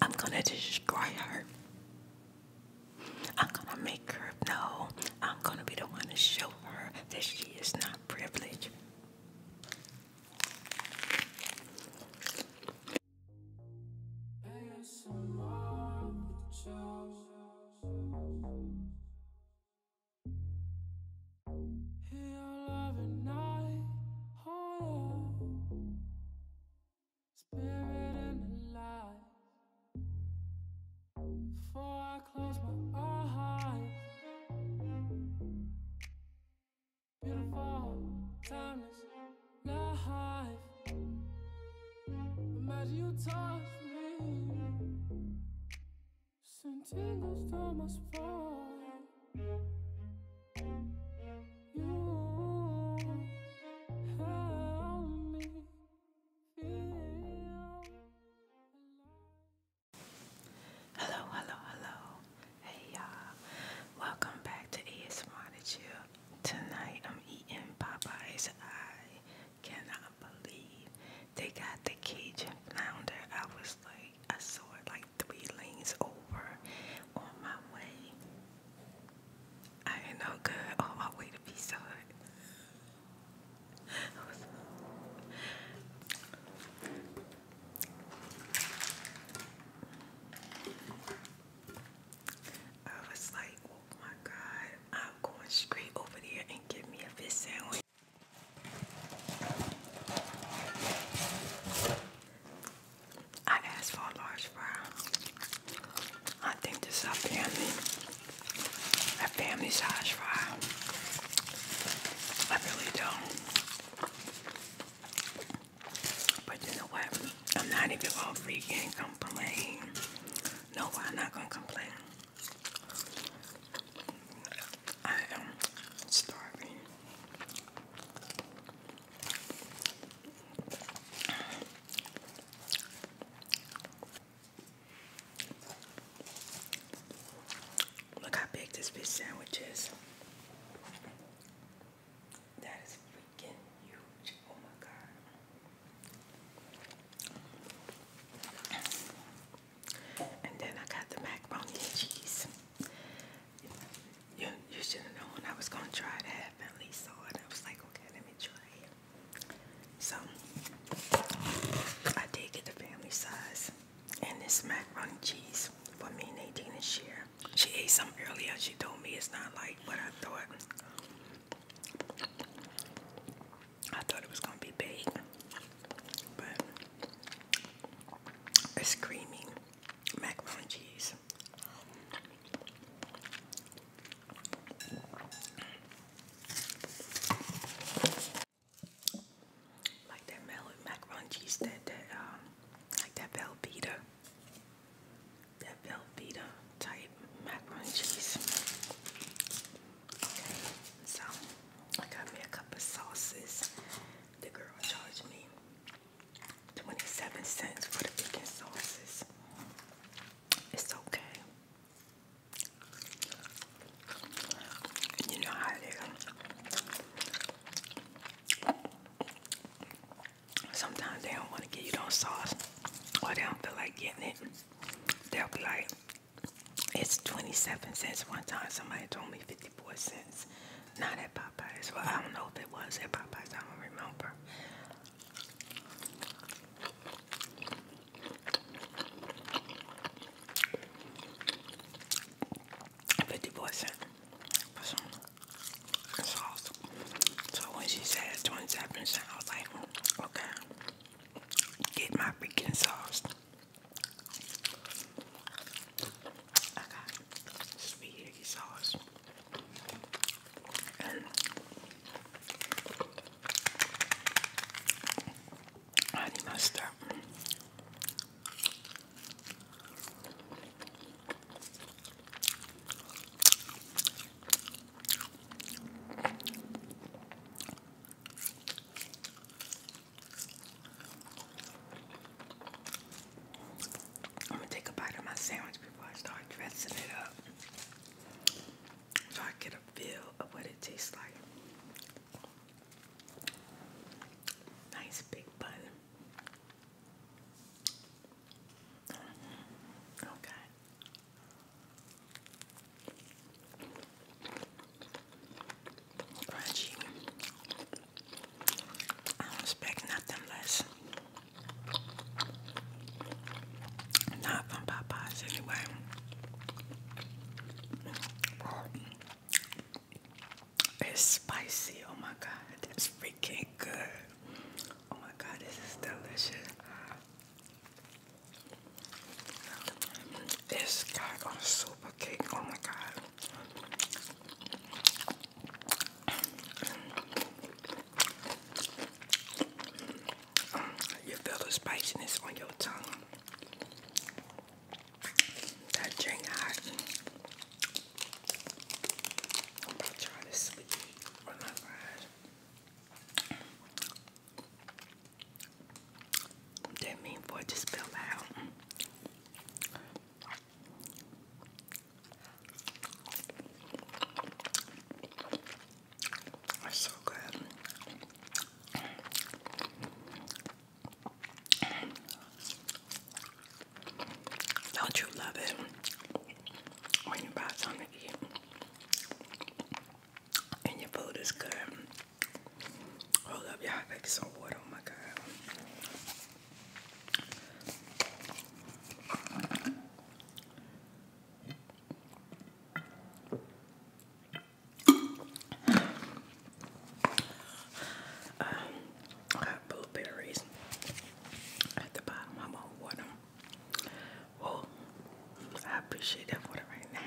I'm gonna destroy her. I'm gonna make her know. I'm gonna be the one to show her that she is not privileged spirit and before I close my eyes. Beautiful, you me, Sentindo os tomas fora Hello, hello, hello. Hey y'all. Welcome back to ASMR to Chill. Tonight I'm eating Popeyes. I cannot believe they got the Cajun flounder. I was like, I saw it like three lanes over on my way. I ain't no good on my way to Pizza Hut. I was like, oh my God, I'm going straight over there and get me a fish sandwich. I asked for a large fry. I think this is a family, a family size fry. I really don't. But you know what? I'm not even all freaking complaining. No, I'm not gonna complain. I am starving. Look how big this fish sandwich is. That is freaking huge. Oh my god. And then I got the macaroni and cheese. You, should have known I was going to try that. I finally saw it. I was like, okay, let me try it. So, I did get the family size. And this macaroni cheese for me and Nadine to share. She ate some earlier. She told me it's not like what I thought. I thought it was going to be big. But it's creamy macaroni cheese. Like that melon macaroni cheese, that that um, like that Velveeta, that Velveeta type macaroni cheese. Okay, so I got me a cup of sauces. The girl charged me 27 cents for the vegan sauces. It's okay. You know how it is. Sometimes they don't want to get you those sauce or they don't feel like getting it. They'll be like, it's 27 cents. One time somebody told me 54 cents. Not that bad. Popeyes. Well, I don't know if it was at Popeyes. I don't remember. Fifty-four cent for some sauce. So when she says twenty-seven percent, I was like, hmm, okay, get my freaking sauce. I got sweet eggy sauce and honey mustard. I'm gonna take a bite of my sandwich before I start dressing it up so I get a feel of what it tastes like. Nice big bun. Mm-hmm. Okay. Crunchy. I don't expect nothing less. Not from Popeyes anyway. It's spicy. Oh my god, It's freaking good. Oh my god, this is delicious. It's got a super cake. Oh my god. You feel the spiciness on your tongue. That drink hot. I'm about to try this sweet on my That mean boy just fell out. It's so good. Don't you love it when you buy something to and your food is good? Hold oh, up, y'all. I think some water. Oh my god. Um, I blueberries at the bottom. I'm going water them. I appreciate that water right now.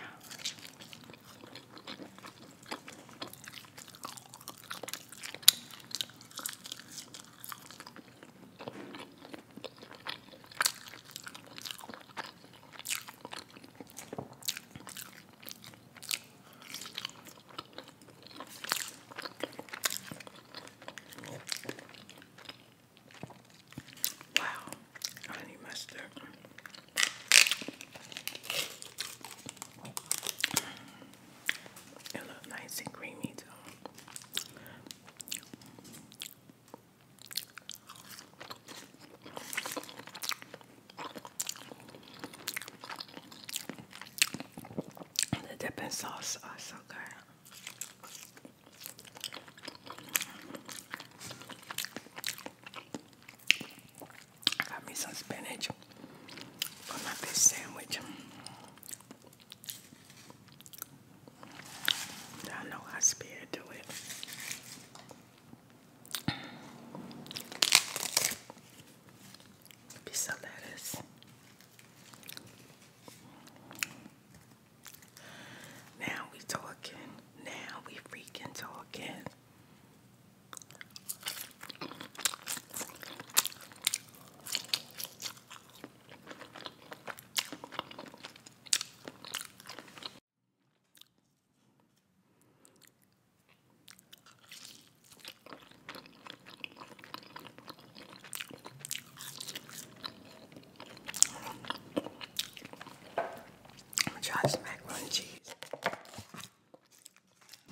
Wow, honey mustard. It looks nice and creamy too. The dipping sauce are so good. got me some spinach for my sandwich. I know I spared do it. Piece lettuce. Now we talking. Now we freaking talking. Josh macaroni cheese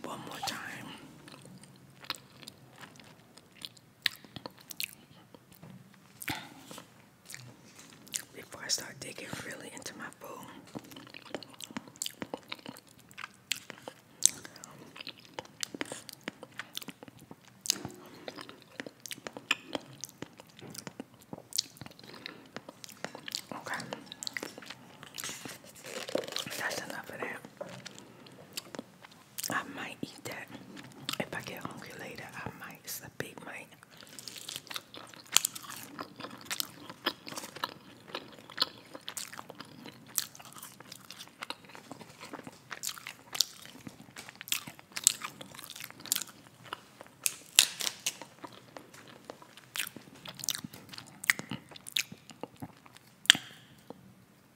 one more time. Before I start digging really into my food, okay, that's enough of that. I might eat that. If I get hungry later, I might. It's a big might.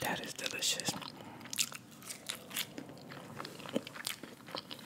That is delicious.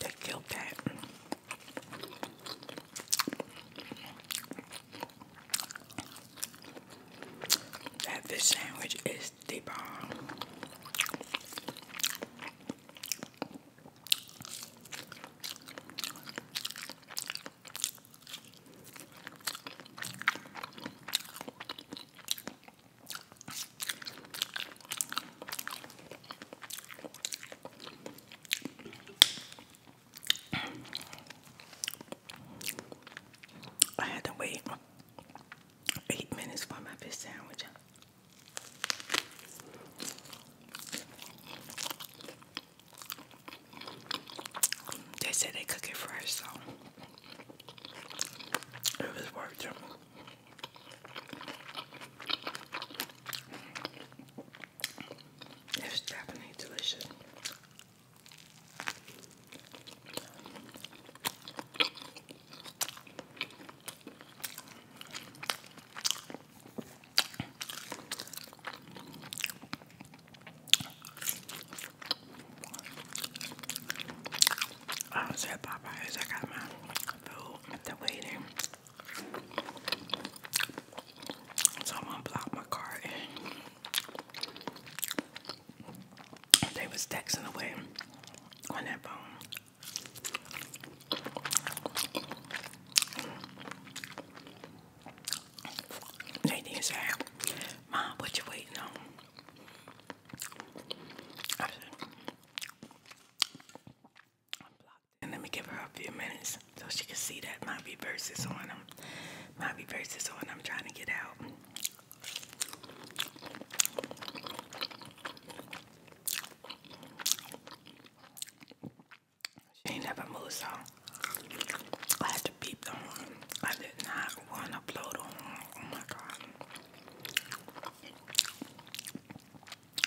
That killed that. That fish sandwich is the bomb. I had to wait eight minutes for my fish sandwich. They said they cook it fresh, so it was worth it. It's definitely delicious. I was at I got my food. The waiting Someone blocked my card and they was texting away on that phone. Nadine said, Mom, what you waiting on? let me give her a few minutes so she can see that my reverse is on them. My reverse is on. I'm trying to get out. She ain't never moved, so I had to beep them on. I did not want to blow them on. Oh my god.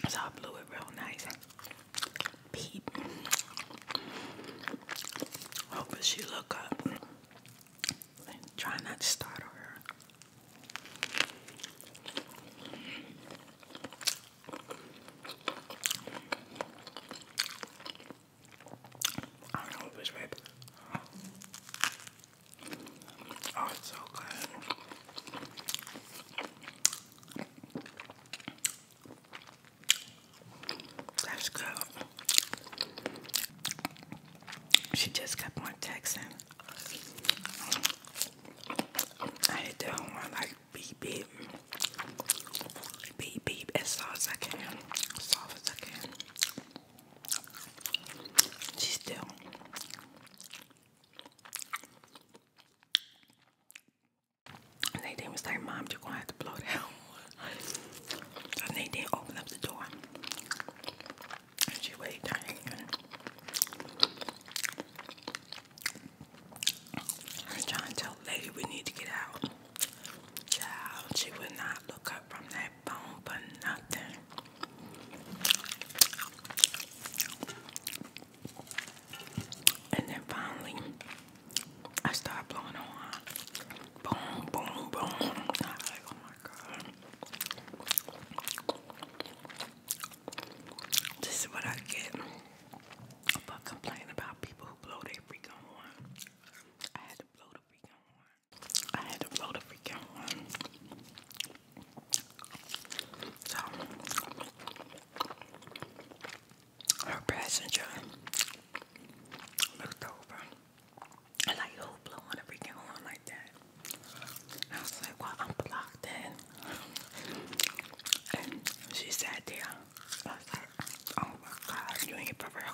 So I blew it real nice. Peep. Hoping look up. And try not to startle her. Oh, so good. That's good. She just kept on texting. I had one like beep beep. Beep beep as loud as I can. soft as I can. She's still Nadine was like, Mom, you're gonna have to blow it out. and Nadine opened up the door. she waved I was trying to tell lady we need to get out. she would not look up from that phone for nothing. And then finally, I started blowing on. Boom, boom, boom. I was like, oh my god. This is what I get for complaining about people who blow their freaking horn. I had to blow the freaking horn. I had to blow the freaking horn. So her passenger looked over and like who blowing a freaking horn like that. I was like, well, I'm blocked in. And she said, there. oh my God, you ain't for real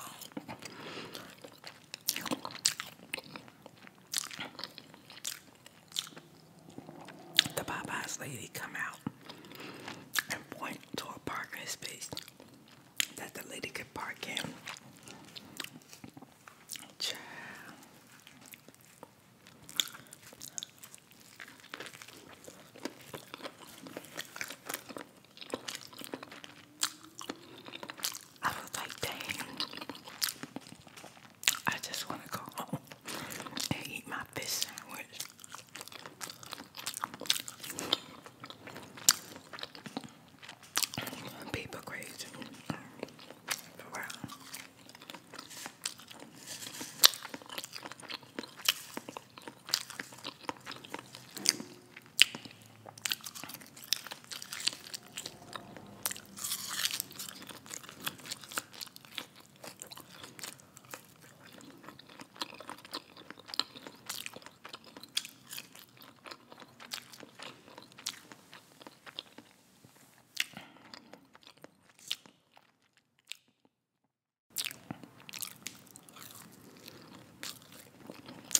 the Popeyes lady come out and point to a parking space that the lady could park in. I was like, dang. I just want to go home and eat my fish sandwich. People crazy. For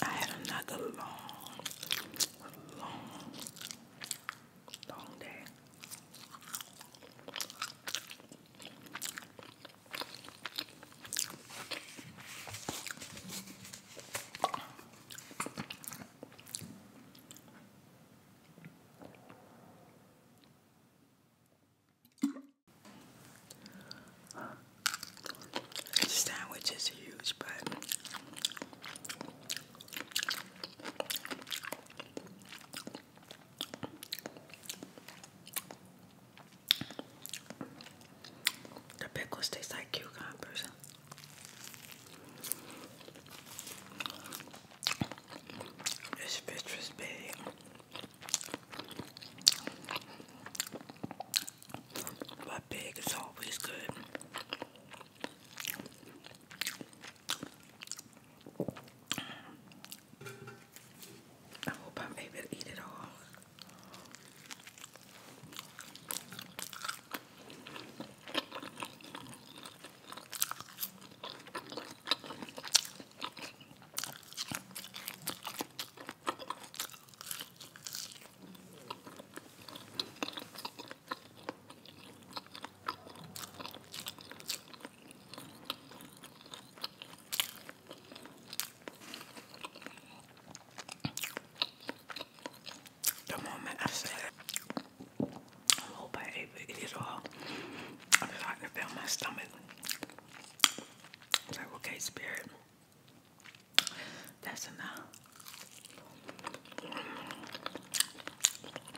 I had another long, long Long day. sandwich is huge, but the pickle taste like cucumbers. It's fish was big. But big is always good. I hope I'm able to eat it all. The moment I said it, I hope I all. I'm starting to feel my stomach. It's like, okay, spirit, that's enough.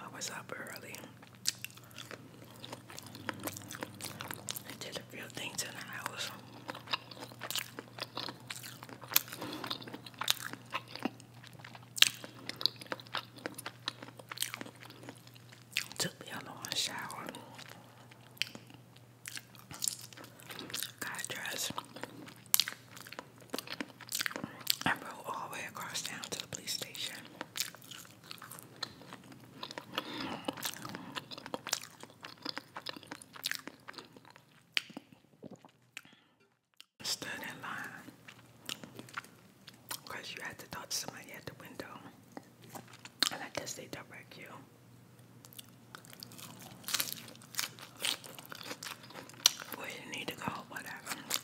I was up early I did a real thing in the house. Took me a long shower. Got dressed. I rode all the way across town to the police station. Stood in line because you had to talk to somebody at the window, and I guess they direct you. Where you need to go, whatever.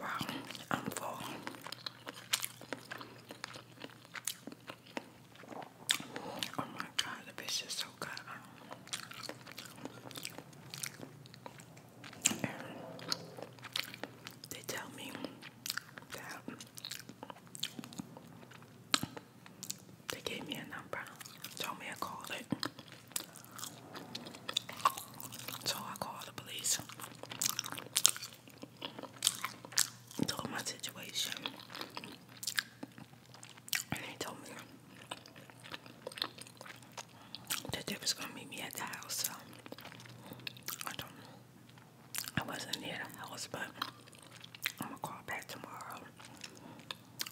Wow, I'm full. Oh my god, the fish is so good they tell me that they gave me a number, told me I called it. So I called the police. Told my situation. And they told me the dip was gonna meet me at the house, so I don't know. I wasn't near the house, but I'm gonna call back tomorrow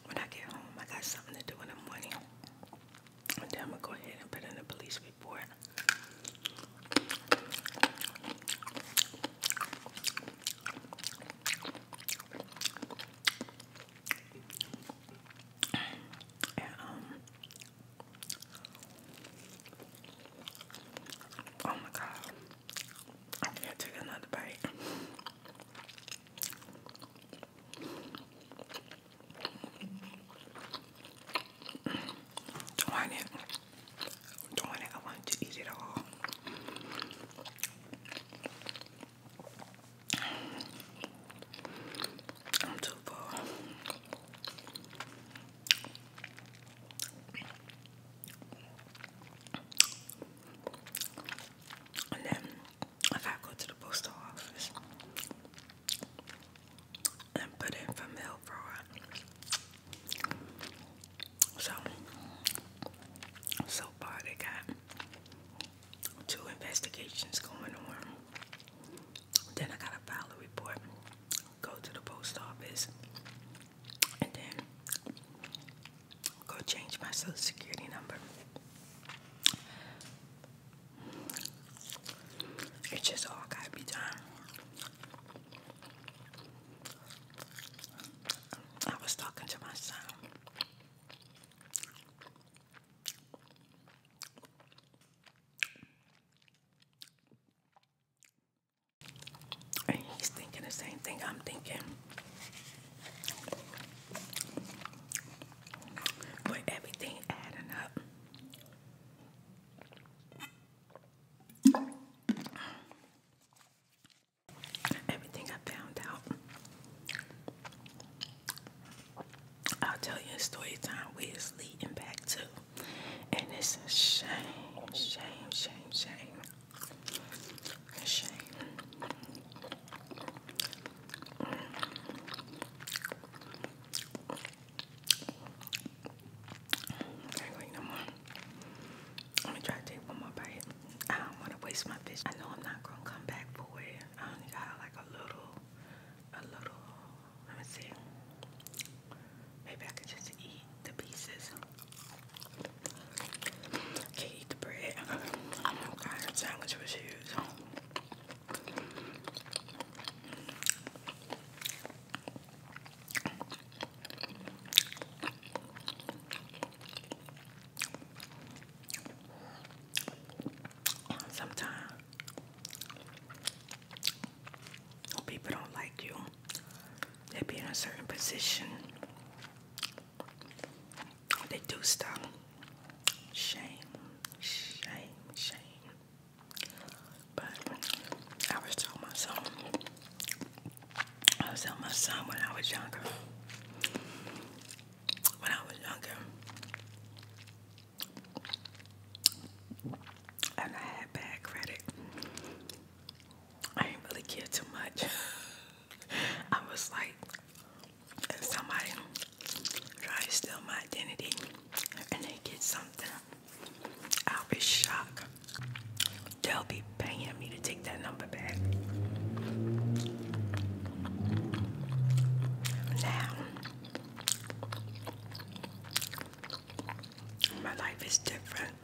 when I get home. I got something to do in the morning, and then I'm gonna go ahead and put in a police report. Um, oh my god, I can another bite. Darn I wanted to eat it all. I'm too full. And then I gotta go to the postal office and put in for mail fraud. So, so far they got two investigations going on. Then I gotta file a report, go to the post office, and then go change my social security number. It just all gotta be done. I was talking to myself he's thinking the same thing I'm thinking. But everything adding up. Everything I found out I'll tell you a story time where it's leading back to. And it's a shame, shame, shame, shame. shame. Let me try to take one more bite. I don't want to waste my fish. I know I'm not gonna come back for it. I only got like a little a little, let me see, maybe I can just eat the pieces. eat the bread. What sandwich was used? Sometimes People don't like you. They be in a certain position. They do stuff. Shame, shame, shame. But I was telling my son, I was telling my son when I was younger. When I was younger, and I had bad credit. I didn't really care too much. I was like, if somebody tries to steal my identity and they get something, I'll be shocked. They'll be paying me to take that number back. Now, my life is different.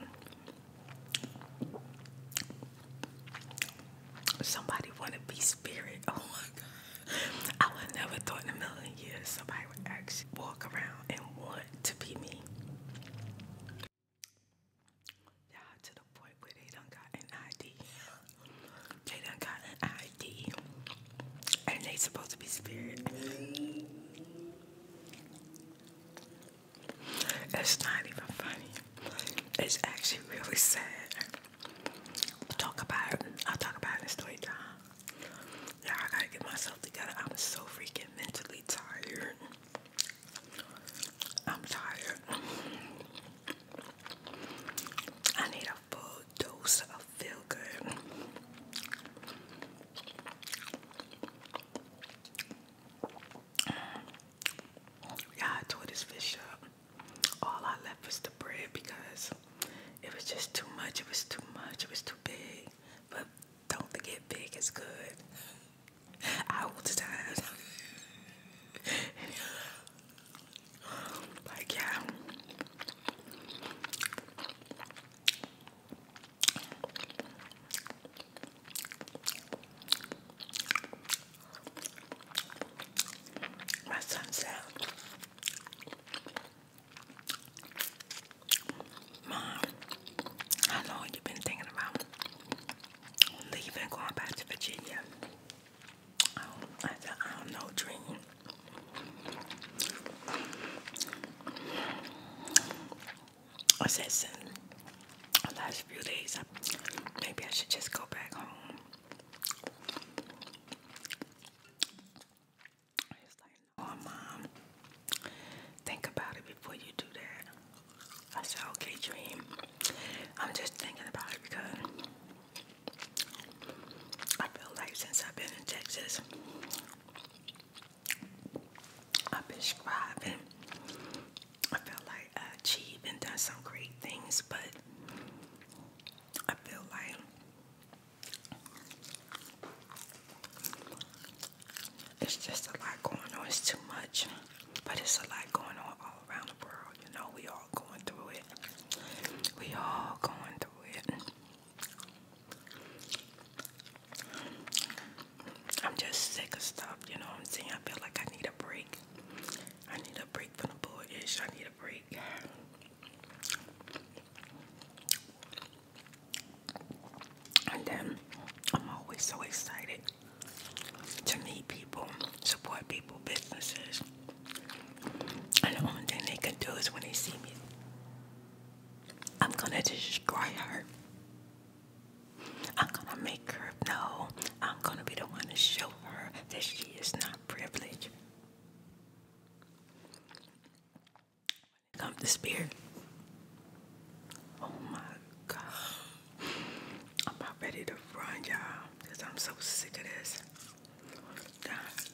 Somebody want to be spirit. Oh my God. I would never thought in a million years somebody would actually walk around and want to be me. Y'all to the point where they done got an ID. They done got an ID. And they supposed to be spirit. It's not even funny. It's actually really sad. Talk about I'll talk about it in story I gotta get myself together. I'm so freaking mentally tired. I'm tired. I need full dose of feel good. Yeah, I tore this fish up. All I left was the bread because it was just too much. It was too much. It was too big. But don't forget, big is good. I all the time. Like, yeah. My son said, Mom, how long you been thinking about leaving, going back to Virginia? I said, I don't know, Dream. I said, since the last few days, maybe I should just go back home. It's like, oh, Mom, think about it before you do that. I said, okay, Dream. I'm just thinking about it because I feel like since I've been in Texas, I've been striving. I feel like I achieved and done some great things, but I feel like it's just a lot going on. It's too much, but it's a lot going on all around the world. You know, we all all going through it. We all going through it. I'm just sick of stuff, you know what I'm saying? I feel like I need a break. I need a break from the bullish. I need a break. And then I'm always so excited to meet people, support people, businesses. And the only thing they can do is when they see me, I'm gonna destroy her. I'm gonna make her know. I'm gonna be the one to show her that she is not privileged. When it comes to spirit, oh my god, I'm not ready to run, y'all, because I'm so sick of this.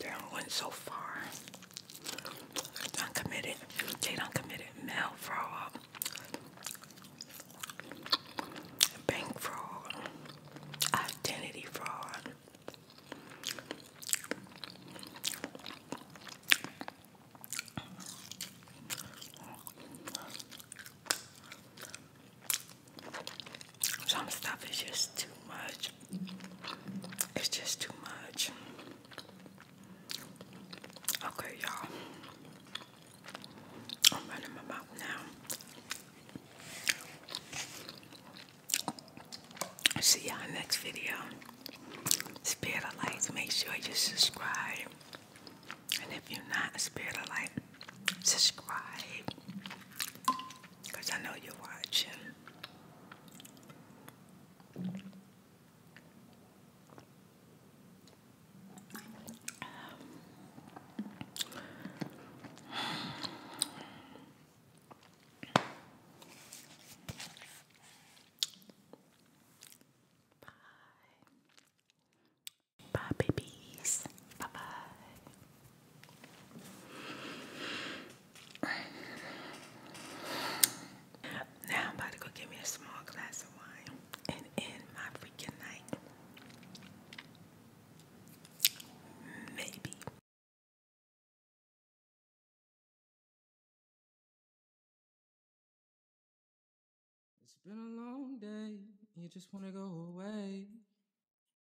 They're going so far. Done committed. They mail fraud, bank fraud, identity fraud. Some stuff is just too much. It's just too much. Okay, y'all. I'm running my mouth now. See y'all next video. Spirit of Light, make sure you subscribe. And if you're not a Spirit of Light, subscribe. Because I know you're watching. Bye. Bye, babies. Bye bye. Now I'm about to go get me a small glass of wine and end my freaking night. Maybe. It's been a long day, you just want to go away.